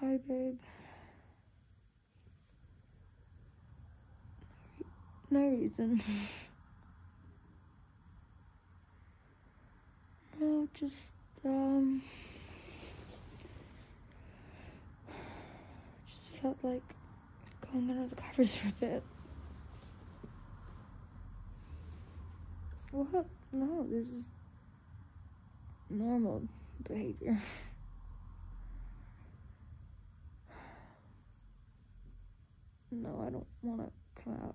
Hi, babe. No reason. no, just, um... Just felt like going under the covers for a bit. What? No, this is normal behavior. no, I don't want to come out.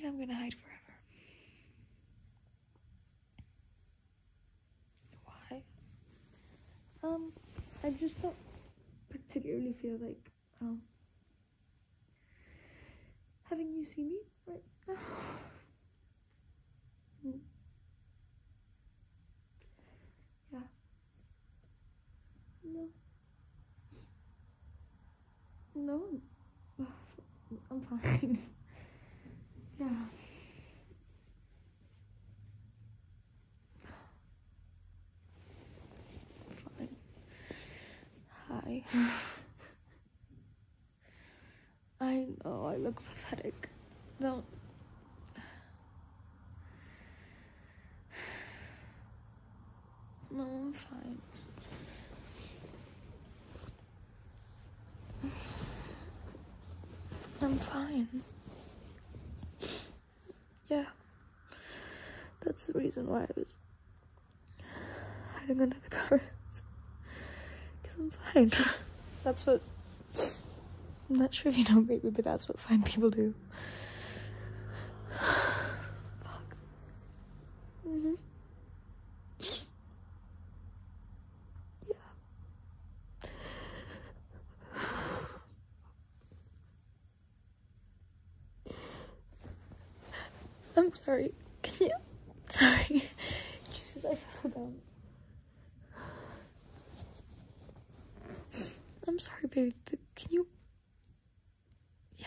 Yeah, I'm going to hide forever. Why? Um, I just don't particularly feel like um, oh. having you see me right now. Yeah. No. No, I'm fine. yeah. Hi. I know I look pathetic. Don't. No, I'm fine. I'm fine yeah, that's the reason why I was hiding under the covers. Because I'm fine. that's what. I'm not sure if you know maybe, but that's what fine people do. Fuck. Mm-hmm. Yeah. I'm sorry. Can you? Sorry. Jesus, I fell down. I'm sorry, baby, can you? Yeah.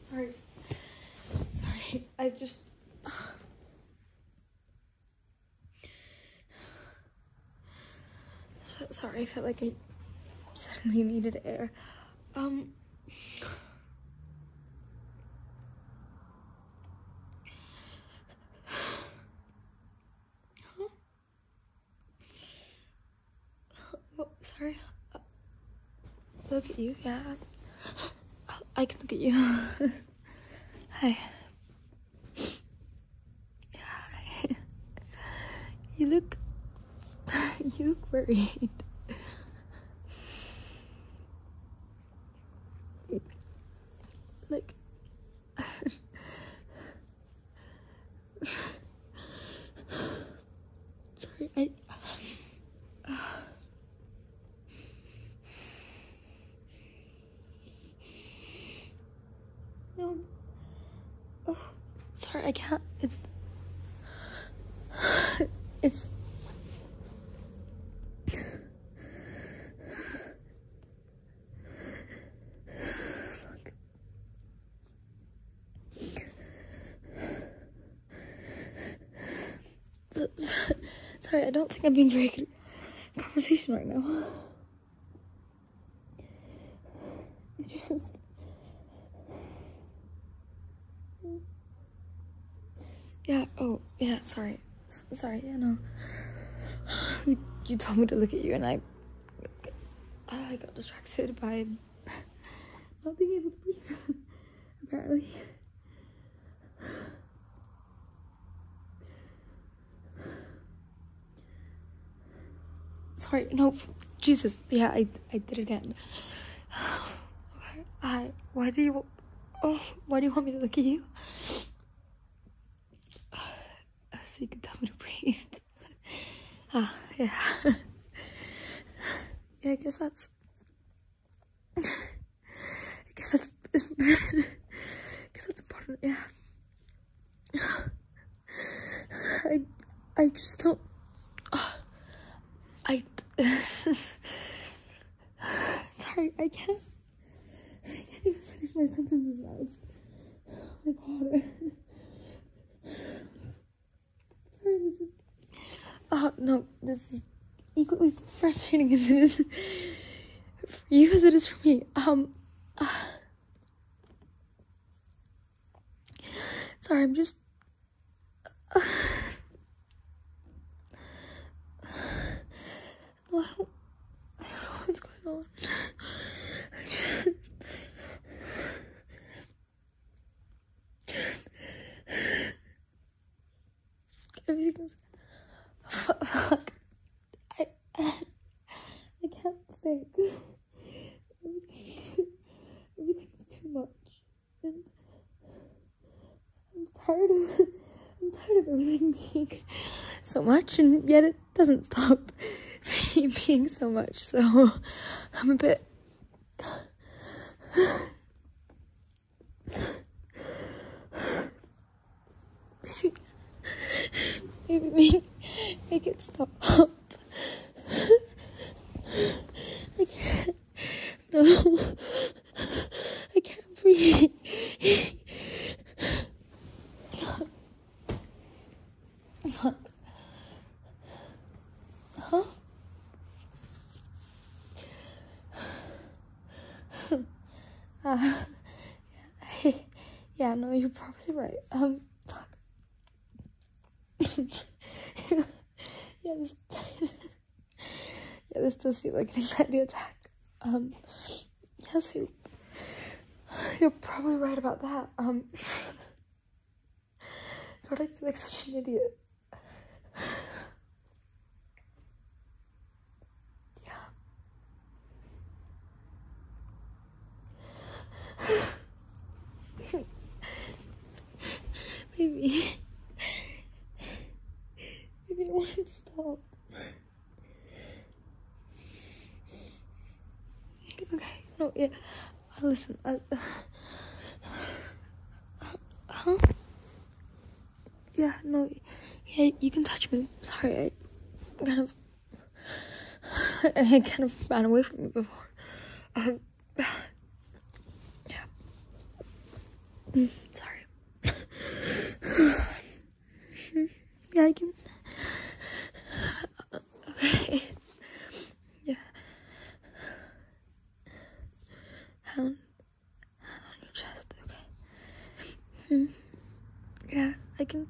Sorry. Sorry. I just. sorry, I felt like I suddenly needed air. Um. sorry. look at you, yeah. I can look at you. Hi. Hi. You look. You look worried. Like. Sorry, I. No. Oh, sorry, I can't. It's. It's. sorry, I don't think I'm being very good conversation right now. It's just. Yeah, oh, yeah, sorry. Sorry, yeah, no. You, you told me to look at you and I. I got distracted by not being able to breathe. apparently. Sorry, no, Jesus, yeah, I, I did again. I, why do you, oh, why do you want me to look at you? So you can tell me to breathe. Ah, yeah. yeah, I guess that's I guess that's, I guess that's important, yeah. I, I just don't, I, sorry, I can't, I can't even finish my sentences now, it's, like oh water. Sorry, this is. Oh, no, this is equally frustrating as it is for you as it is for me. Um. Uh, sorry, I'm just. Uh, I don't know what's going on. Everything's fuck. I I can't think. Everything's too much, and I'm tired of. I'm tired of everything being so much, and yet it doesn't stop being so much. So I'm a bit. Baby, make, make it stop. I can't. No. I can't breathe. Huh? uh, yeah, yeah, no, you're probably right. Um, yeah, this, yeah, this does feel like an anxiety attack. Um, yes, you, you're probably right about that. Um, God, I feel like such an idiot. yeah. Baby. Baby, I want stop. Okay, no, yeah. Listen, uh, huh? Yeah, no, yeah, you can touch me. Sorry, I kind of, I kind of ran away from you before. Um, yeah. sorry. yeah, I can. Okay. Yeah. Hand, hand on your chest, okay? Hmm. Yeah, I can.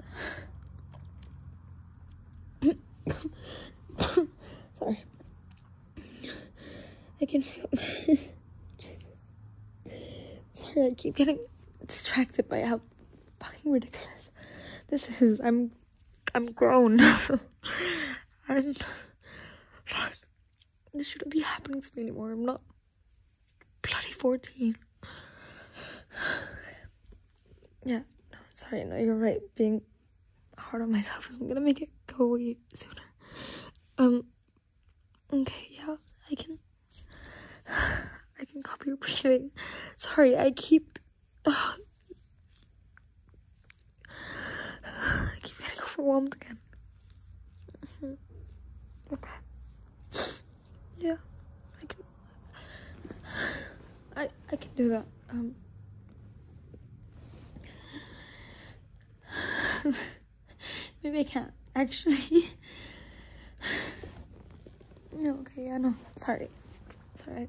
Sorry. I can feel. Jesus. Sorry, I keep getting distracted by how fucking ridiculous this is. I'm I'm grown. I'm this shouldn't be happening to me anymore. I'm not bloody 14. yeah, no, sorry, no, you're right. Being hard on myself isn't gonna make it go away sooner. Um, okay, yeah, I can, I can copy your breathing. Sorry, I keep, I keep getting overwhelmed again. Okay. Yeah, I can. I I can do that. Um. Maybe I can't actually. no. Okay. Yeah. No. Sorry. Sorry.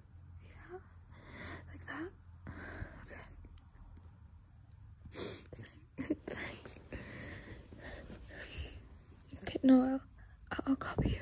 Yeah. Like that? Okay. Thanks. Okay, no, I'll, I'll copy you.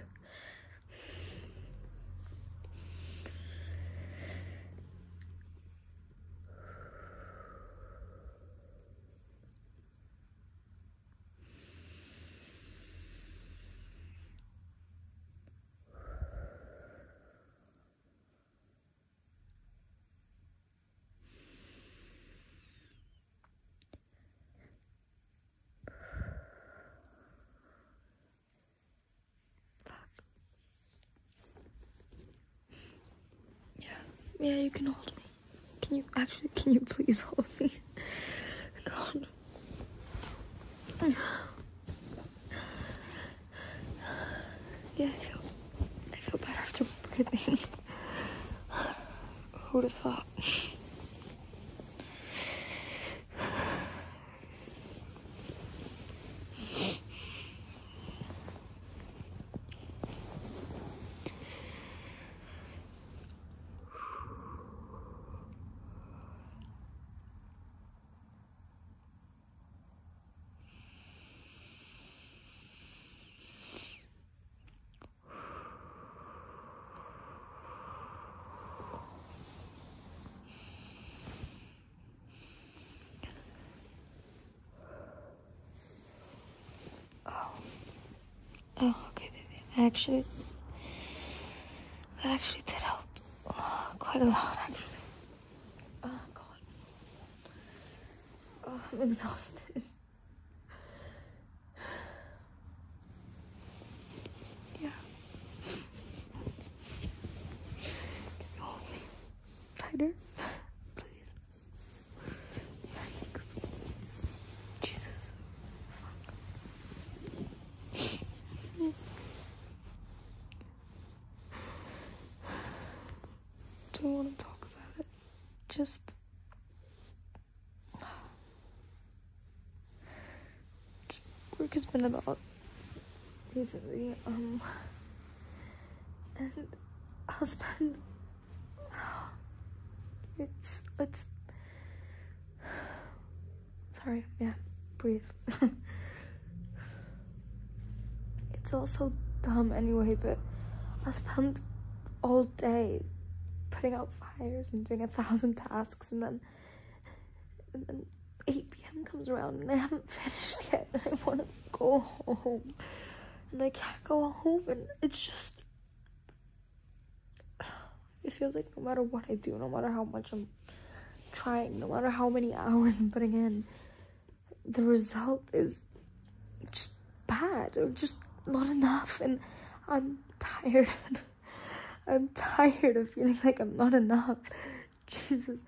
Yeah, yeah, you can hold me. Can you actually, can you please hold me? God. Yeah, I feel, I feel better after breathing. Who'd have thought? Oh. Oh, okay, I actually, that actually did help uh, quite a lot, actually. Oh, God. Oh, I'm exhausted. yeah. Can you hold me tighter? Please. Jesus don't want to talk about it. Just. Just work has been about recently, um. And husband. It's. It's. Sorry, yeah, breathe. it's all so dumb anyway, but I spent all day putting out fires and doing a thousand tasks, and then, and then 8 p.m. comes around and I haven't finished yet, and I want to go home, and I can't go home, and it's just. It feels like no matter what I do, no matter how much I'm trying, no matter how many hours I'm putting in, the result is just bad or just not enough. And I'm tired. I'm tired of feeling like I'm not enough. Jesus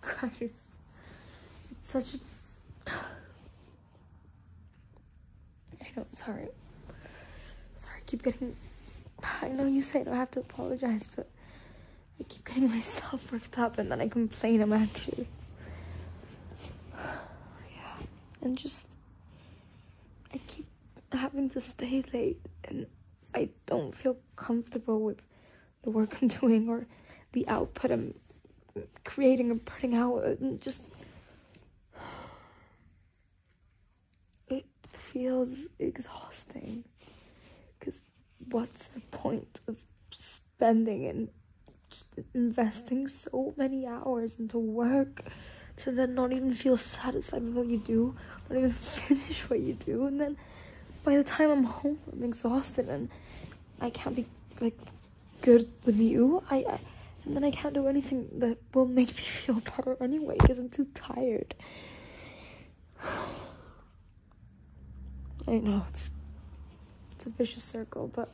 Christ. It's such a. I not sorry. Sorry, keep getting. I know you said I don't have to apologize, but I keep getting myself worked up and then I complain I'm anxious. yeah, and just I keep having to stay late and I don't feel comfortable with the work I'm doing or the output I'm creating and putting out and just feels exhausting. Because what's the point of spending and investing so many hours into work to then not even feel satisfied with what you do, not even finish what you do, and then by the time I'm home, I'm exhausted and I can't be like good with you. I, and then I can't do anything that will make me feel better anyway because I'm too tired. I know it's it's a vicious circle, but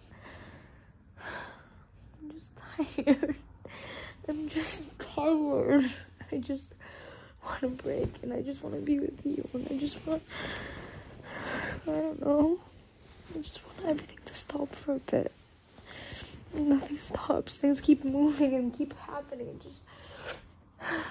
I'm just tired. I'm just tired. I just want to break, and I just want to be with you, and I just want I don't know. I just want everything to stop for a bit. Nothing stops. Things keep moving and keep happening. and Just Thanks.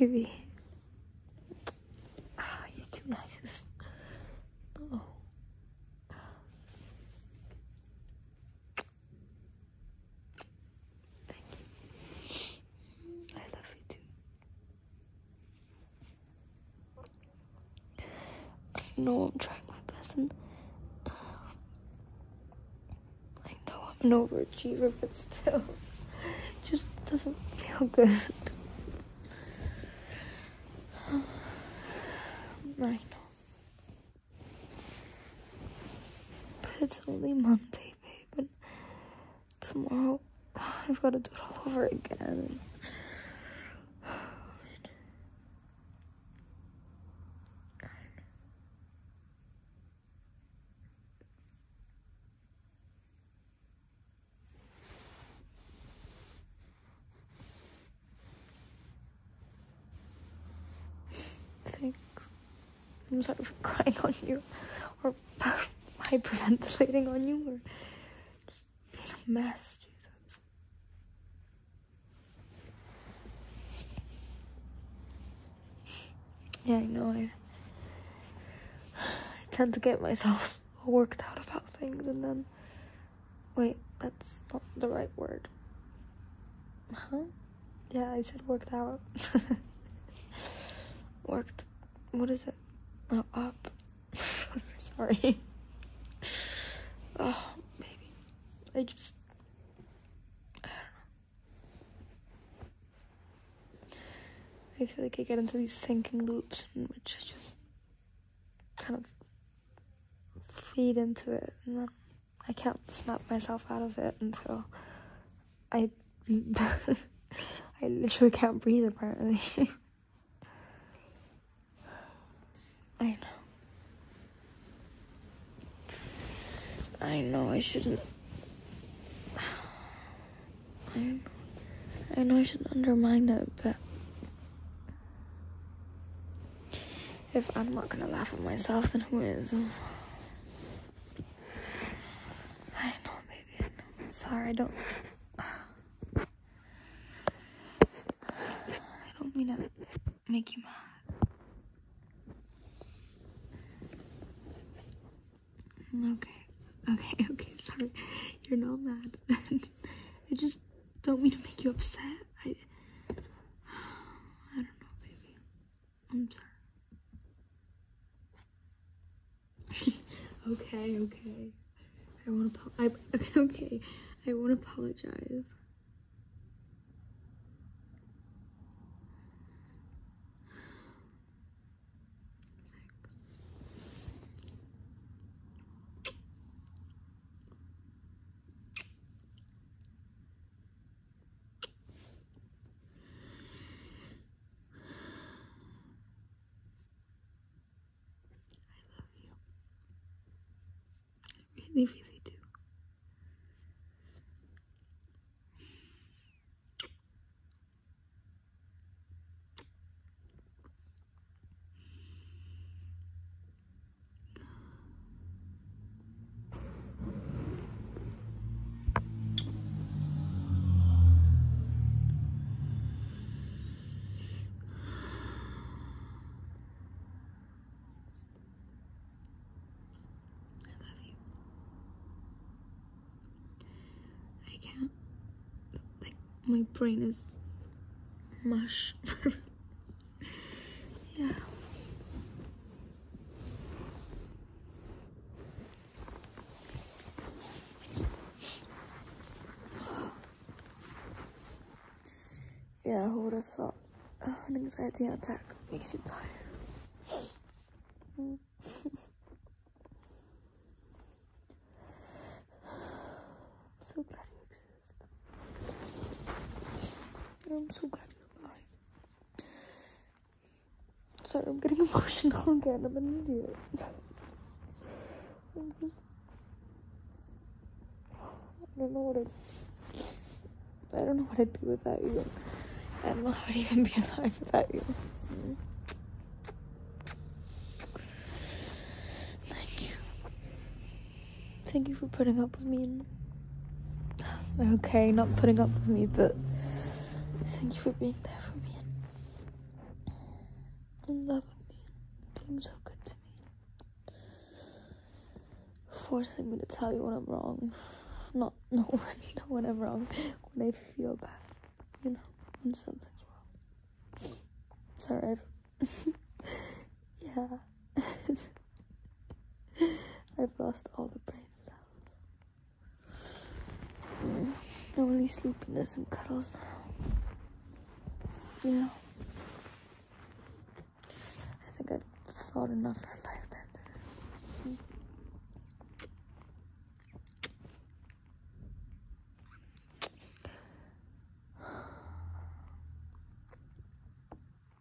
Baby. Oh, you're too nice. Oh. I love you too. I know I'm trying my best and uh, I know I'm an overachiever, but still, it just doesn't feel good. I know. But it's only Monday, babe, and tomorrow I've got to do it all over again. Thanks. I'm sorry for crying on you or hyperventilating on you or just being a mess, Jesus. Yeah, I know I, tend to get myself worked out about things and then Wait, that's not the right word. Huh? Yeah, I said worked out. worked. What is it? Oh, up. Sorry. oh, maybe. I just. I don't know. I feel like I get into these thinking loops which I just kind of feed into it and then I can't snap myself out of it until I I literally can't breathe apparently. I know. I know I shouldn't. I know I, know I shouldn't undermine that, but if I'm not gonna laugh at myself, then who is? I know, baby. sorry, I don't. I don't mean to make you mad. Okay. Okay, okay, sorry. You're not mad. I just don't mean to make you upset. I, I don't know, baby. I'm sorry. okay, okay. I want to. I okay. I won't apologize. I love you. I really, really do. I love you. I can't, my brain is mush. yeah. Yeah, who would have thought oh, an anxiety attack makes you tired? so glad you exist. I'm so glad you're alive. Sorry, I'm getting emotional again. I'm an idiot. I'm just. I don't know what I'd. I don't know what I'd be without you. I don't know how I'd even be alive without you. Thank you. Thank you for putting up with me okay, not putting up with me, but thank you for being there for me and, loving me and being so good to me. Forcing me to tell you when I'm wrong. Not no not when I'm wrong. When I feel bad, you know, when something's wrong. Sorry, i yeah. I've lost all the brain cells. Only sleepiness and cuddles now. Yeah. I think I've thought enough for life. lifetime I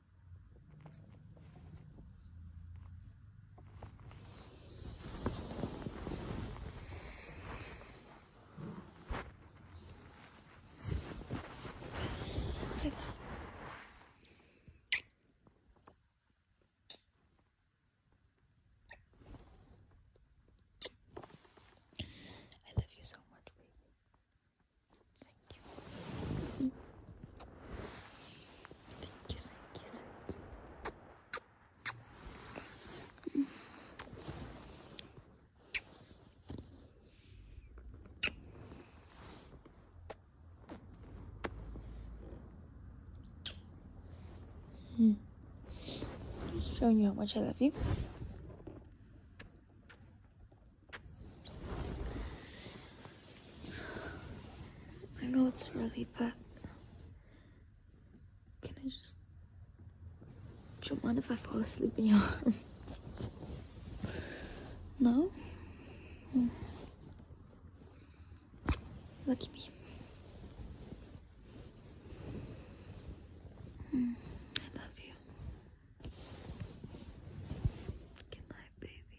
love you so much, baby. Thank you. Thank you, thank you, Showing you how much I love you. I know it's early, but can I just don't mind if I fall asleep in your arms? No? Hmm. Look at me. Hmm. I love you. Good night, baby.